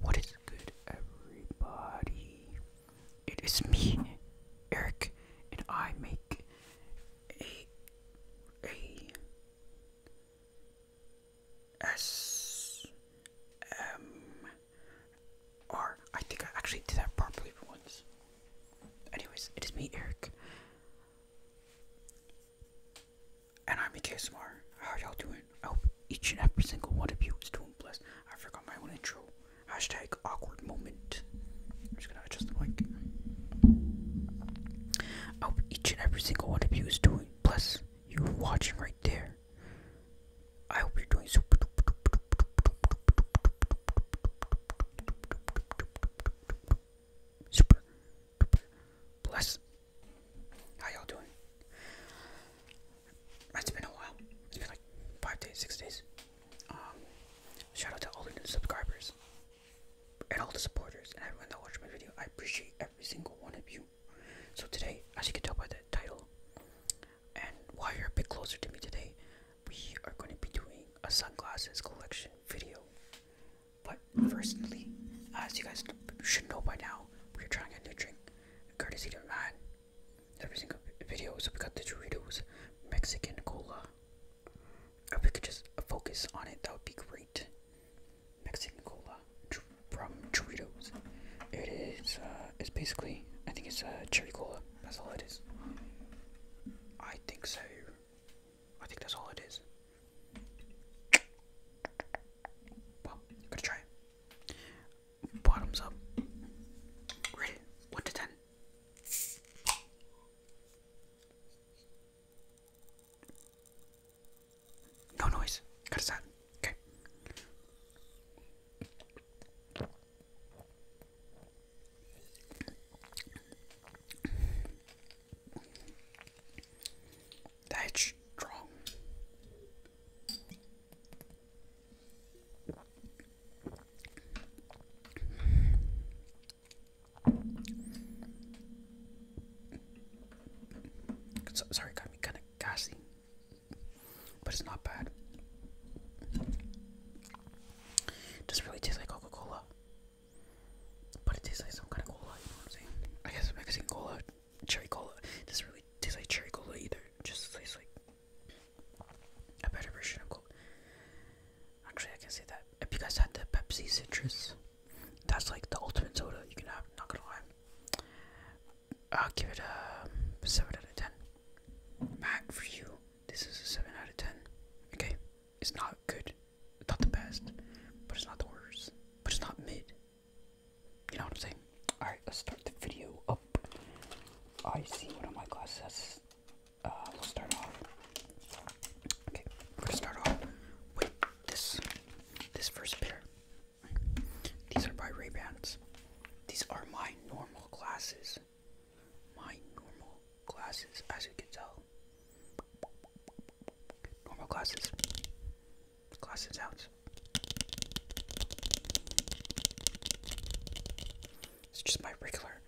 What is good, everybody? It is me, Eric, and I make a a S M R. I think I actually did that properly once. Anyways, it is me, Eric. And I'm a KSMR. How y'all doing? I hope each and every single one of you is doing blessed. I forgot my own intro. Hashtag awkward moment. I'm just gonna adjust the mic. I hope each and every single one of you is doing blessed you're watching right there. I hope you're doing super. Super. Bless. How y'all doing? It's been a while. It's been like five days, six days. Um, shout out to all the new subscribers and all the supporters and everyone that watched my video. I appreciate every single one of you. So today, as you can tell by the title, and while you're a bit closer to me today, we are going to be doing a sunglasses collection video. But firstly, as you guys should know by now, we're trying a new drink, courtesy to man. Every single video, so we got the Doritos Mexican Cola. If we could just focus on it, that would be great. Mexican cola from Doritos. It is, uh, it's basically, I think it's a uh, cherry cola. That's all it is. I think so. I think that's all it is. Well, to try Bottoms up. Ready? 1 to 10. No noise. Cut it. out. Okay. That's strong sorry, got me kind of gassy, but it's not bad. It doesn't really taste like Coca Cola, but it tastes like some kind of cola. You know what I'm saying? I guess Mexican cola, cherry cola. It doesn't really taste like cherry cola either. just tastes like a better version of cola. Actually, I can say that. Have you guys had the Pepsi citrus? That's like the ultimate soda you can have, not gonna lie. I'll give it a 7 out of 10. Matt, for you, this is a 7 out of 10. Okay, it's not good, it's not the best, but it's not the worst, but it's not mid. You know what I'm saying? Alright, let's start the video up. I see one of my glasses has. Uh, we'll start off. Okay, we're gonna start off with this. This first pair. These are my Raybans. These are my normal glasses. My normal glasses, as you can tell. Normal glasses. Glasses out. It's just my regular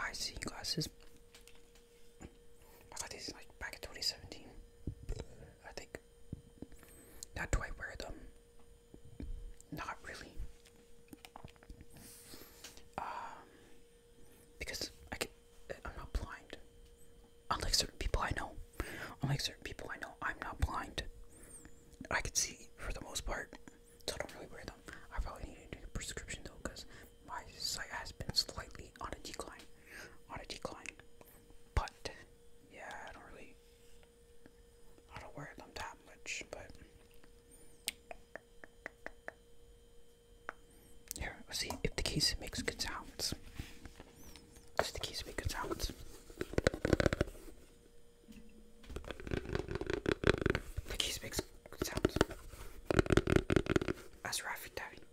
I see glasses. I got these like back in 2017. I think now, do I wear them? Not really. Um, because I can, I'm not blind. Unlike certain people I know, unlike certain people I know, I'm not blind. I can see for the most part, so I don't really wear them. I probably need to do a prescription though, because my sight has been slightly on a decline. On a decline putt. Yeah, I don't really I don't wear them that much, but here, see if the keys makes good sounds. Does the keys make good sounds? The keys makes good sounds. That's right, Davy.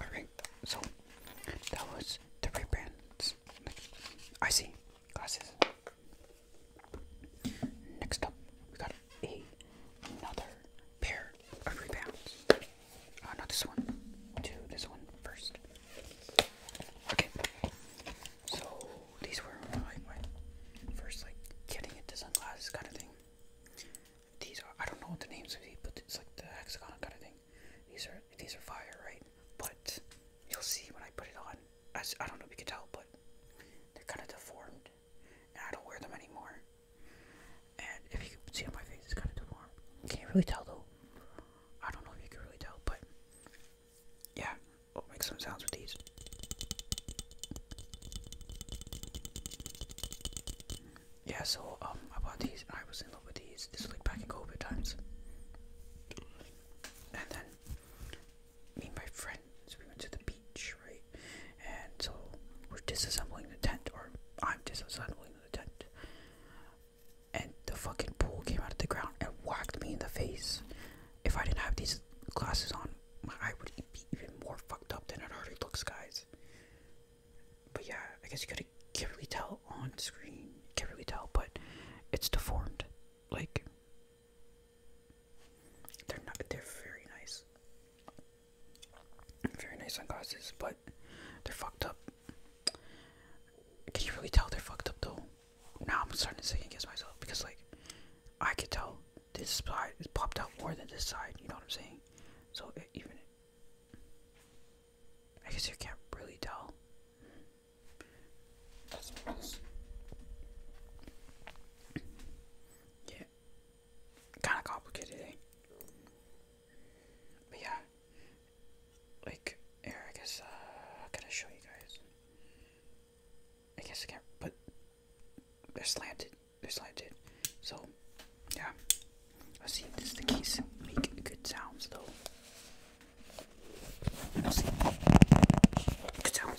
Alright, so that was the rebrand. I see glasses. Next up, we got a, another pair of rebounds. Uh, not this one, to this one first. Okay, so these were first, like getting into sunglasses kind of thing. These are I don't know what the names of these, but it's like the hexagon kind of thing. These are these are fire, right? But you'll see when I put it on I, I don't know if you can tell, but they're kind of deformed, and I don't wear them anymore. And if you can see on my face, it's kind of deformed. You can't really tell though. I don't know if you can really tell, but yeah, I'll oh, make some sounds with these. Yeah, so um, I bought these, and I was in love with these. This was like back in COVID times. And then me and my friends, we went to the beach, right? And so we're disassembling the tent, or I'm disassembling the tent. And the fucking pool came out of the ground and whacked me in the face. If I didn't have these glasses on, my eye would be even more fucked up than it already looks, guys. But yeah, I guess you could to can't really tell on screen. Can't really tell, but it's deformed. Like, they're not. They're very nice. Very nice sunglasses, but they're fucked up. Can you really tell they're fucked up though? Now I'm starting to second guess myself because like I could tell this side is popped out more than this side. You know what I'm saying? So it, even I guess you can't really tell. That's what it is. Yeah. Kinda complicated, eh? But yeah. Like here I guess uh how can I show you guys? I guess I can't but they're slanted. They're slanted. So yeah. Let's see if this is the case. Make good sounds though. Good sound.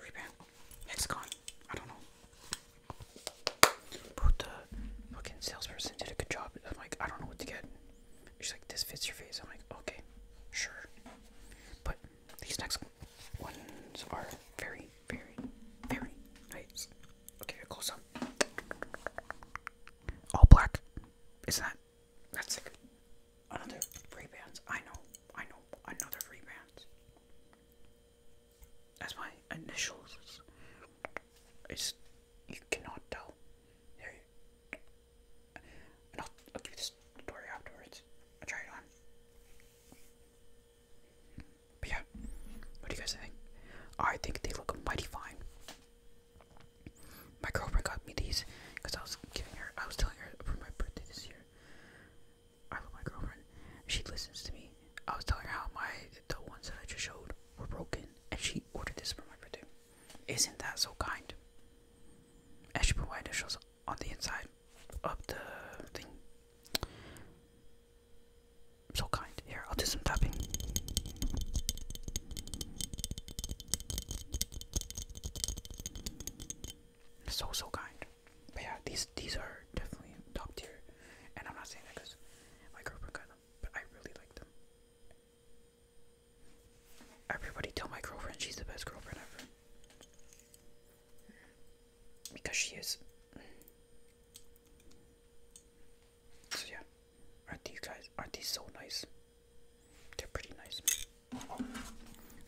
Rebound. It's gone. I don't know. But the fucking salesperson did a good job. I'm like, I don't know what to get. She's like, this fits your face. I'm like, okay, sure. But these next ones are very, very, very nice. Okay, close up. All black. is that? That's sick. Another rebounds. I know. I know. Another rebounds. That's my initials. It's you cannot tell. I'll, I'll give this story afterwards. i try it on. But yeah, what do you guys think? I think they look mighty fine. My girlfriend got me these because I was giving her, I was telling her for my birthday this year. I love my girlfriend. She listens to me. I was telling her how my the ones that I just showed were broken, and she ordered this for my birthday. Isn't that so kind? As she put my initials on the inside of the thing. So kind. Here, I'll do some tapping. So so kind. But yeah, these these are definitely top tier, and I'm not saying that because my girlfriend got them, but I really like them. Everybody tell my girlfriend she's the best girlfriend ever. Because she is. So yeah. Aren't these guys aren't these so nice? They're pretty nice.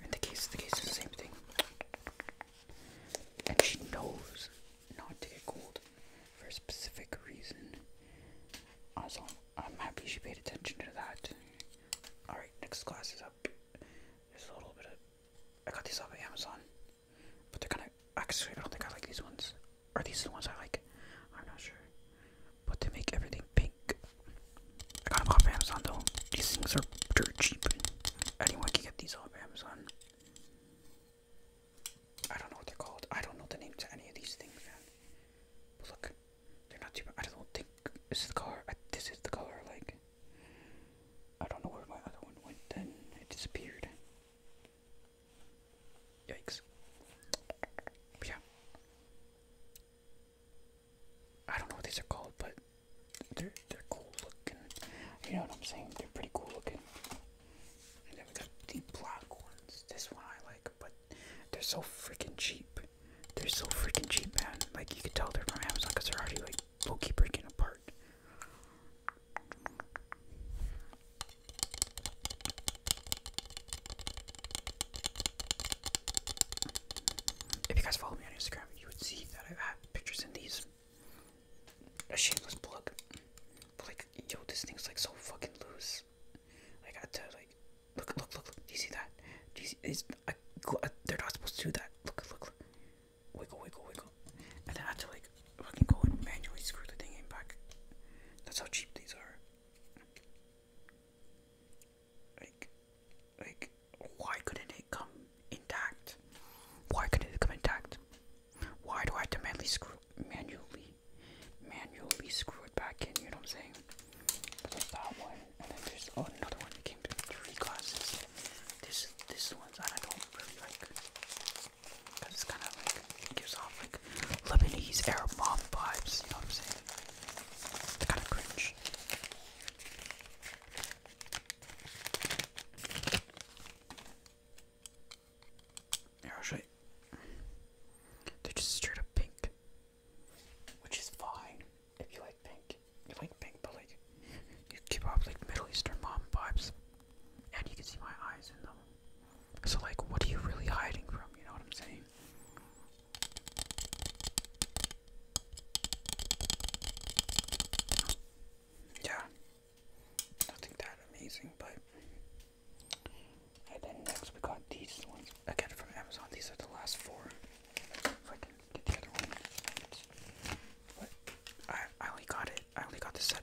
And the case the case is the same thing and she knows not to get cold for a specific reason. I'm happy she paid attention to that. Alright, next class is up. There's a little bit of. I got these off of Amazon, but they're kind of. Actually, I don't think I like these ones. Are these the ones I like? I'm not sure. But they make everything pink. I got them off of Amazon though. These things are dirt cheap. Anyone can get these off. Amazon. I don't know what they're called. I don't know the name to any of these things, look, they're not too bad. I don't think this is the color. this is the color, like. I don't know where my other one went then. It disappeared. Yikes. yeah. I don't know what these are called, but they're they're cool looking. You know what I'm saying? They're pretty cool looking. And then we got the black ones. This one I like, but they're so freaking cheap. They're so freaking cheap, man. Like you could tell they're from Amazon because they're already like low key breaking apart. If you guys follow me on Instagram, you would see that I've had pictures in these a shameless plug. But like, yo, this thing's like so fucking loose. Like, I got to like, look, look, look, look. Do you see that? Do you see? It's, I, I, they're not supposed to do that. Look, look, look. Wiggle, wiggle, wiggle. And then I have to like fucking go and manually screw the thing in back. That's how cheap these are. Like, like, why couldn't it come intact? Why couldn't it come intact? Why do I have to manually screw, manually, manually screw it back in? You know what I'm saying? there's that one, and then there's oh, another one that came in three glasses. This, this one's I don't really like. Cause it's kind of like gives off like Lebanese Arab mom vibes. You know what I'm saying? Kind of cringe. Here, They're just straight up pink. Which is fine if you like pink. You like pink, but like, you give off like Middle Eastern mom vibes. And you can see my eyes in them. So, like, what are you really hiding from? You know what I'm saying? yeah, nothing that amazing, but. And then next we got these ones. I from Amazon. These are the last four. If I can get the other one. But I, I only got it. I only got the set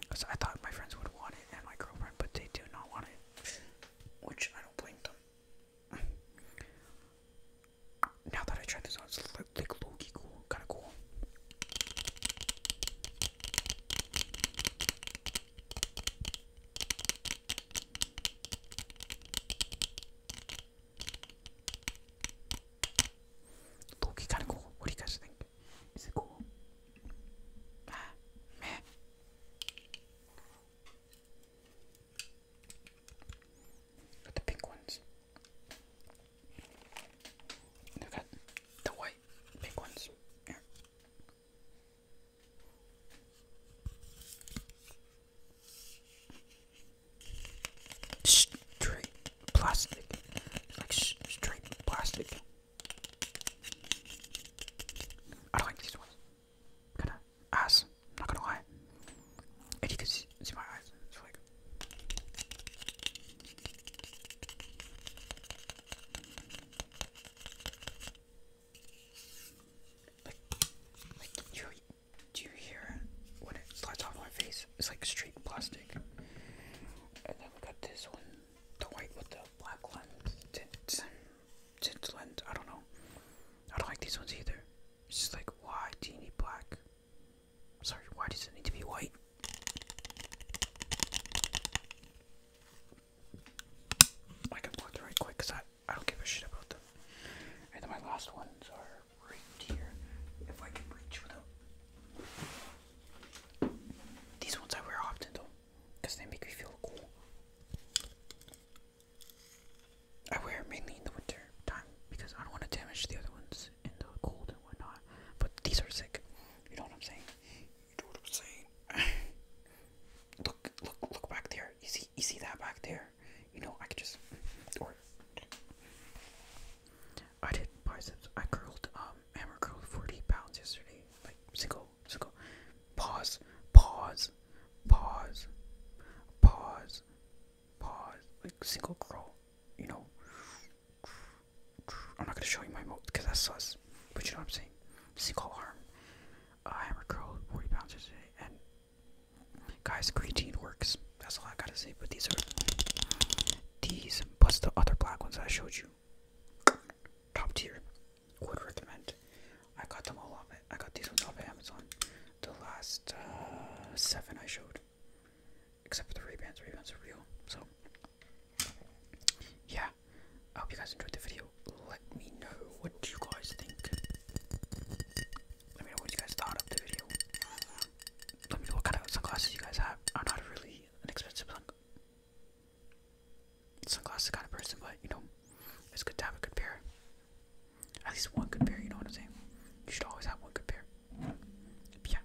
because I thought my friends would want it and my girlfriend, but they do not want it, which I don't blame them now that I tried this on, it's like, like low cool, kind of cool. Loki kind of cool. What do you guys think? Is it cool? Ah, meh. Got the pink ones. They've got the white pink ones. Here. Straight plastic. Like straight plastic. I don't like these ones. Kinda ass. not gonna lie and you can see, my eyes. It's like like, like you, do you hear when it slides off my face? It's like straight plastic. And then we got this one, the white with the black lens, tint, lens. I don't know. I don't like these ones either. It's just like, why do you need black? Sorry, why does it need to be white? I can go through it quick because I, I don't give a shit about them. And then my last ones are right here. If I can reach with These ones I wear often though because they make me feel cool. I wear mainly in the winter time because I don't want to damage the other ones in the cold and whatnot. But these are sick. You know what I'm saying? You know what I'm saying? look, look, look back there. You see, you see that back there? You know, I could just or I did biceps. I curled, um, hammer curled 40 pounds yesterday. Like single, single. Pause, pause, pause, pause, pause. Like single curl, you know. I'm not gonna show you my mold because that's sus. But you know what I'm saying? Single arm, I uh, a curl, 40 pounds today. And guys, creatine works. That's all I gotta say. But these are these plus the other black ones I showed you. Top tier. Would recommend. I got them all off. I got these ones off Amazon. The last uh, seven I showed. Except for the rebans, rebans are real. So, yeah. I hope you guys enjoyed the video. Let me know what you guys think. Let me know what you guys thought of the video. Let me know what kind of sunglasses you guys have. I'm not really an expensive sunglasses kind of person, but you know, it's good to have a good pair. At least one good pair, you know what I'm saying? You should always have one good pair. yeah.